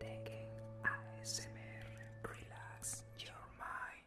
Taking a ASMR relax your mind.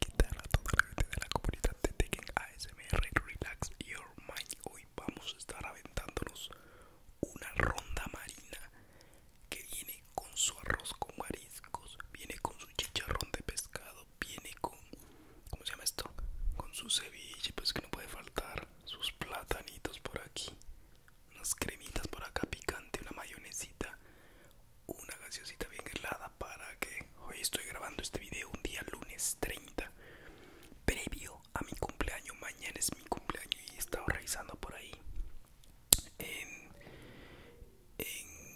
quitar a toda la gente de la comunidad de Tekken ASMR Relax Your Mind. Hoy vamos a estar aventándonos una ronda marina que viene con su arroz con mariscos, viene con su chicharrón de pescado, viene con. ¿Cómo se llama esto? Con su ceviche, pues que no puede faltar. Sus platanitos por aquí, unas cremitas por acá picante, una mayonesita una gaseosita bien helada para que hoy estoy grabando este video un día lunes 30 previo a mi cumpleaños mañana es mi cumpleaños y he estado revisando por ahí en,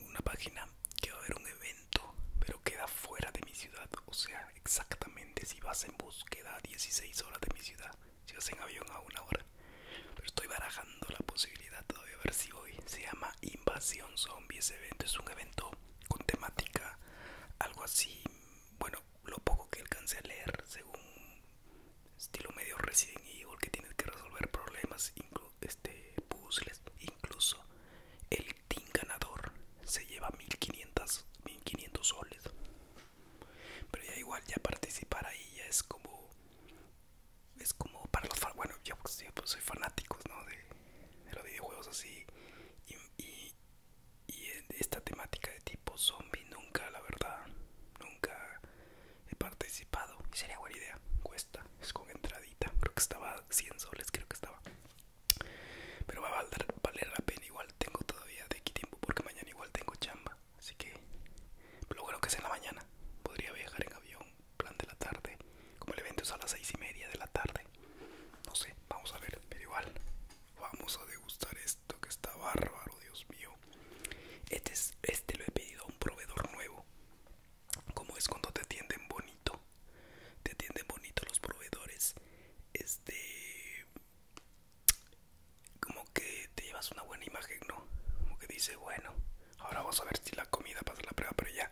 una página que va a haber un evento pero queda fuera de mi ciudad o sea exactamente si vas en bus queda a 16 horas de mi ciudad si vas en avión a una hora pero estoy barajando la posibilidad todavía ver si hoy se llama Invasión Zombie. Ese evento es un evento con temática, algo así. Bueno, lo poco que alcancé a leer, según estilo medio recién Evil, que tienes que resolver problemas, incluye este, puzzles, incluso el team ganador se lleva 1500, 1500 soles. Pero ya igual, ya participar ahí ya es como es como para los bueno yo pues, pues soy fanáticos ¿no? de, los videojuegos así y, y, esta temática de tipo zombie nunca la verdad nunca he participado sería buena idea cuesta es con entradita creo que estaba 100 soles creo que estaba pero va a valer, valer la pena igual tengo todavía de aquí tiempo porque mañana igual tengo chamba así que lo bueno que es en la mañana podría viajar en avión plan de la tarde. Como el evento es a las seis y media de la tarde. No sé, vamos a ver, pero igual. Vamos a degustar esto que está bárbaro, Dios mío. Este, es, este lo he pedido a un proveedor nuevo. Como es cuando te atienden bonito. Te atienden bonito los proveedores. Este. Como que te llevas una buena imagen, ¿no? Como que dice, bueno. Ahora vamos a ver si la comida pasa la prueba, pero ya.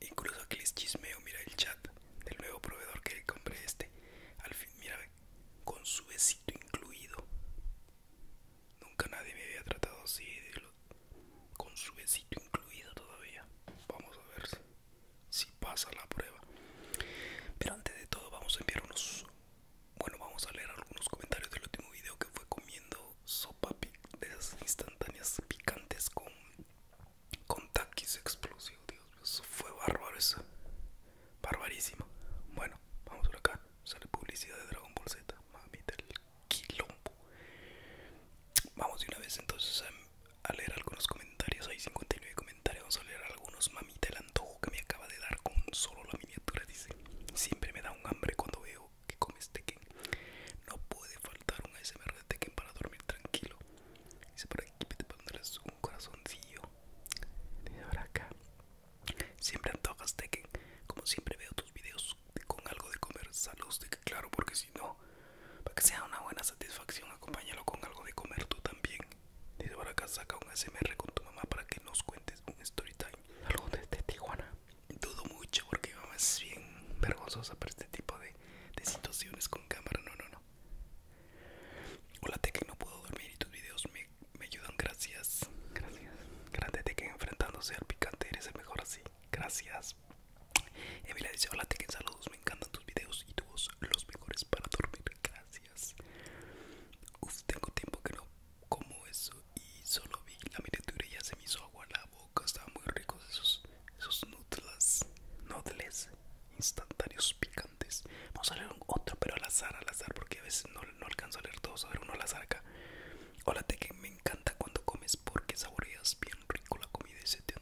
Incluso aquí les chismeo, mira el chat del nuevo proveedor que compré este. Al fin, mira, con su besito incluido. Nunca nadie me había tratado así, con su besito incluido todavía. Vamos a ver si pasa la prueba. Pero antes de todo vamos a enviar unos bueno, vamos a leer algunos comentarios del último video que fue comiendo sopa de esas instantáneas picantes con, con taquis explosivos. Dios eso fue bárbaro, eso. Barbarísimo. Bueno, vamos por acá. Sale publicidad de Dragon Ball Z. Mami del quilombo. Vamos de una vez entonces a, leer algunos comentarios. Hay 59 comentarios. Vamos a leer algunos. Mami el antojo que me acaba de dar con solo la miniatura. Dice: Siempre me da un hambre cuando veo que comes Tekken. No puede faltar un ASMR de Tekken para dormir tranquilo. Dice por aquí, te pondrás un corazoncillo. Dice por acá. Siempre antojas Tekken. Como siempre veo tus videos con algo de comer. Saludos Tekken, claro, porque si no, para que sea una buena satisfacción, acompáñalo con algo de comer tú también. Dice por acá, saca un ASMR con tu mamá para que nos cuentes un story time. Saludos desde Tijuana dudo mucho porque mi mamá es bien vergonzosa para este tipo de, situaciones con cámara. No, no, no. Hola Tekken, no puedo dormir y tus videos me, me ayudan. Gracias. Gracias. Grande Tekken enfrentándose al picante. Eres el mejor así. Gracias. Emilia dice, hola Tekken, saludos. Me encantan tus videos y tu voz. Los mejores para dormir. Gracias. Uf, tengo tiempo que no como eso y solo vi la miniatura y ya se me hizo agua la boca. estaba muy rico esos, esos nutlas, nudles instantáneos picantes. Vamos a leer un otro, pero al azar, al azar, porque a veces no, no alcanzo a leer todos. A uno al azar acá. Hola, te que me encanta cuando comes porque saboreas bien rico la comida y se te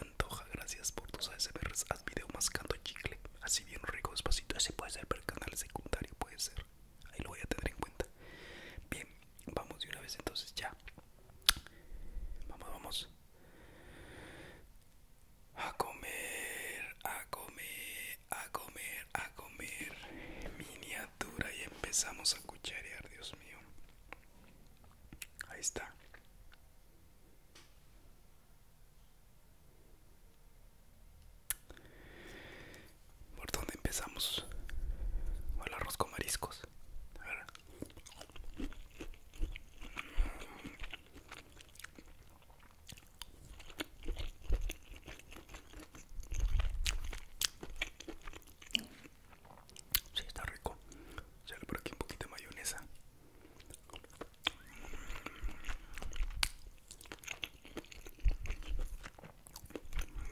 antoja. Gracias por tus ASMRs. Haz video mascando chicle, así bien rico, despacito. Ese puede ser para el canal secundario, puede ser. Ahí lo voy a tener en cuenta. Bien, vamos de una vez entonces ya. Vamos, vamos. A comer, a comer, a comer, a comer. Miniatura y empezamos a cucharear, Dios mío. Ahí está. ¿Por dónde empezamos? O el arroz con mariscos. A Sí, está rico. Sale por aquí un poquito de mayonesa.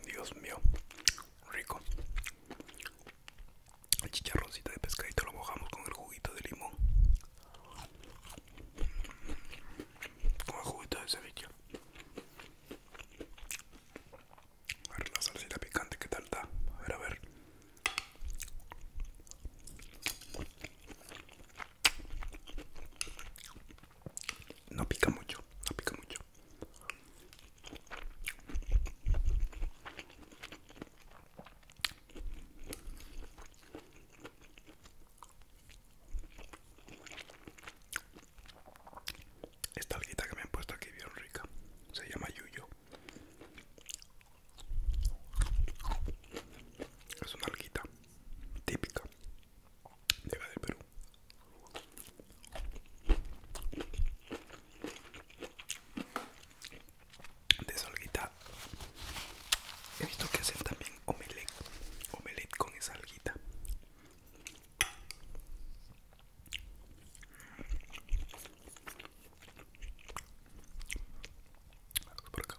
Dios mío, rico. El chicharroncito de pescadito lo mojamos con el juguito de limón. Con el juguito de ceviche. A ver la salsita picante, ¿qué tal está? A ver, a ver. No pica mucho, no pica mucho. Esta alguita que me han puesto aquí bien rica. Se llama Yuyo. Es una alguita típica de acá del Perú. De salguita. He visto que hacen también omelet omelet con esa alguita. Por acá.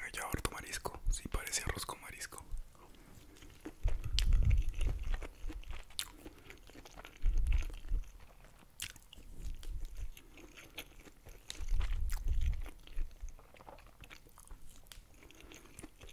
Hay harto marisco, sí, parece arroz con marisco.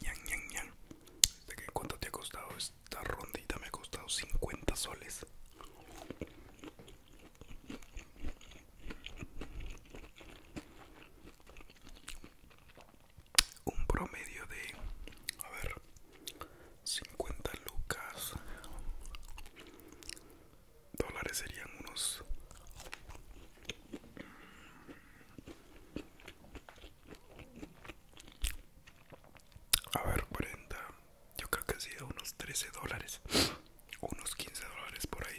Yang, ¿De qué cuánto te ha costado esta rondita? Me ha costado 50 soles. Un promedio de... A ver. 50 lucas dólares serían unos A ver, 40 yo creo que ha unos 13 dólares unos 15 dólares por ahí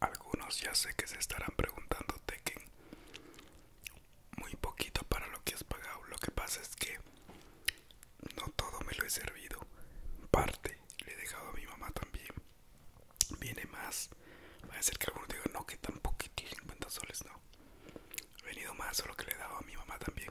Algunos ya sé que se estarán preguntando, Tekken. Muy poquito para lo que has pagado. Lo que pasa es que no todo me lo he servido. Parte le he dejado a mi mamá también. Viene más. Va a ser que algunos digan, no, que tan poquito, 50 soles, no. He venido más, lo que le he dado a mi mamá también.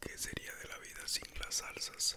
¿Qué sería de la vida sin las salsas?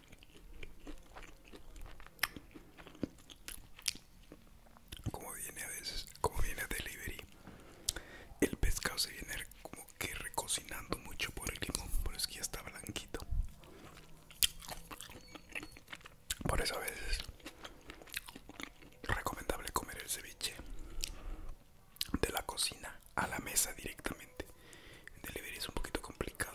Como viene a como viene a delivery, el pescado se viene como que recocinando mucho por el limón, por es que ya está blanquito. Por eso a veces recomendable comer el ceviche de la cocina a la mesa directamente delivery. es un poquito complicado.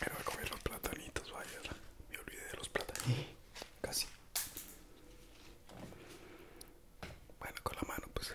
Pero voy a comer los platanitos, vaya. Me olvidé de los platanitos. Casi. Bueno, con la mano, pues.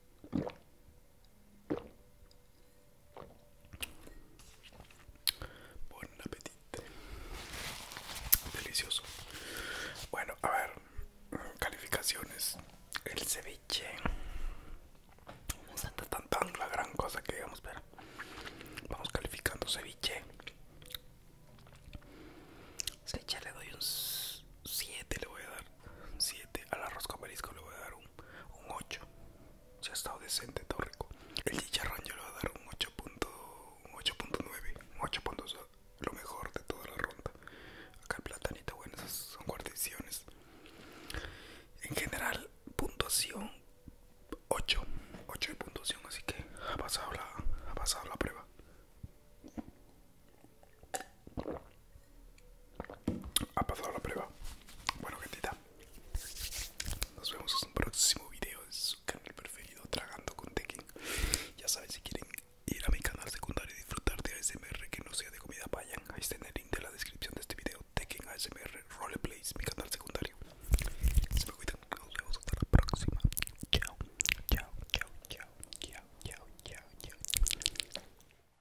Buen apetito. Delicioso. Bueno, a ver. Calificaciones. El ceviche. No está tan, tan, la gran cosa que digamos, pero vamos calificando ceviche. Ceviche le doy un 7, le voy a dar. 7. Al arroz con marisco le voy a dar un, 8. Se ha estado decente, todo rico. El chicharrón yo le voy a dar un 8.9, un 8.2, lo mejor de toda la ronda. Acá el platanito, bueno, esas son guarniciones. En general, puntuación 8, 8 de puntuación, así que ha pasado la prueba. Ha pasado la prueba. Bueno, gentita. Nos vemos en un próximo video Es su canal preferido, Tragando con Tekken. Ya saben, si quieren ir a mi canal secundario y disfrutar de ASMR que no sea de comida, vayan. Ahí está en el link de la descripción de este video. Tekken ASMR Roleplays, mi canal secundario. Se me Nos vemos hasta la próxima. chao, chao, chao, chao, chao, chao. chao.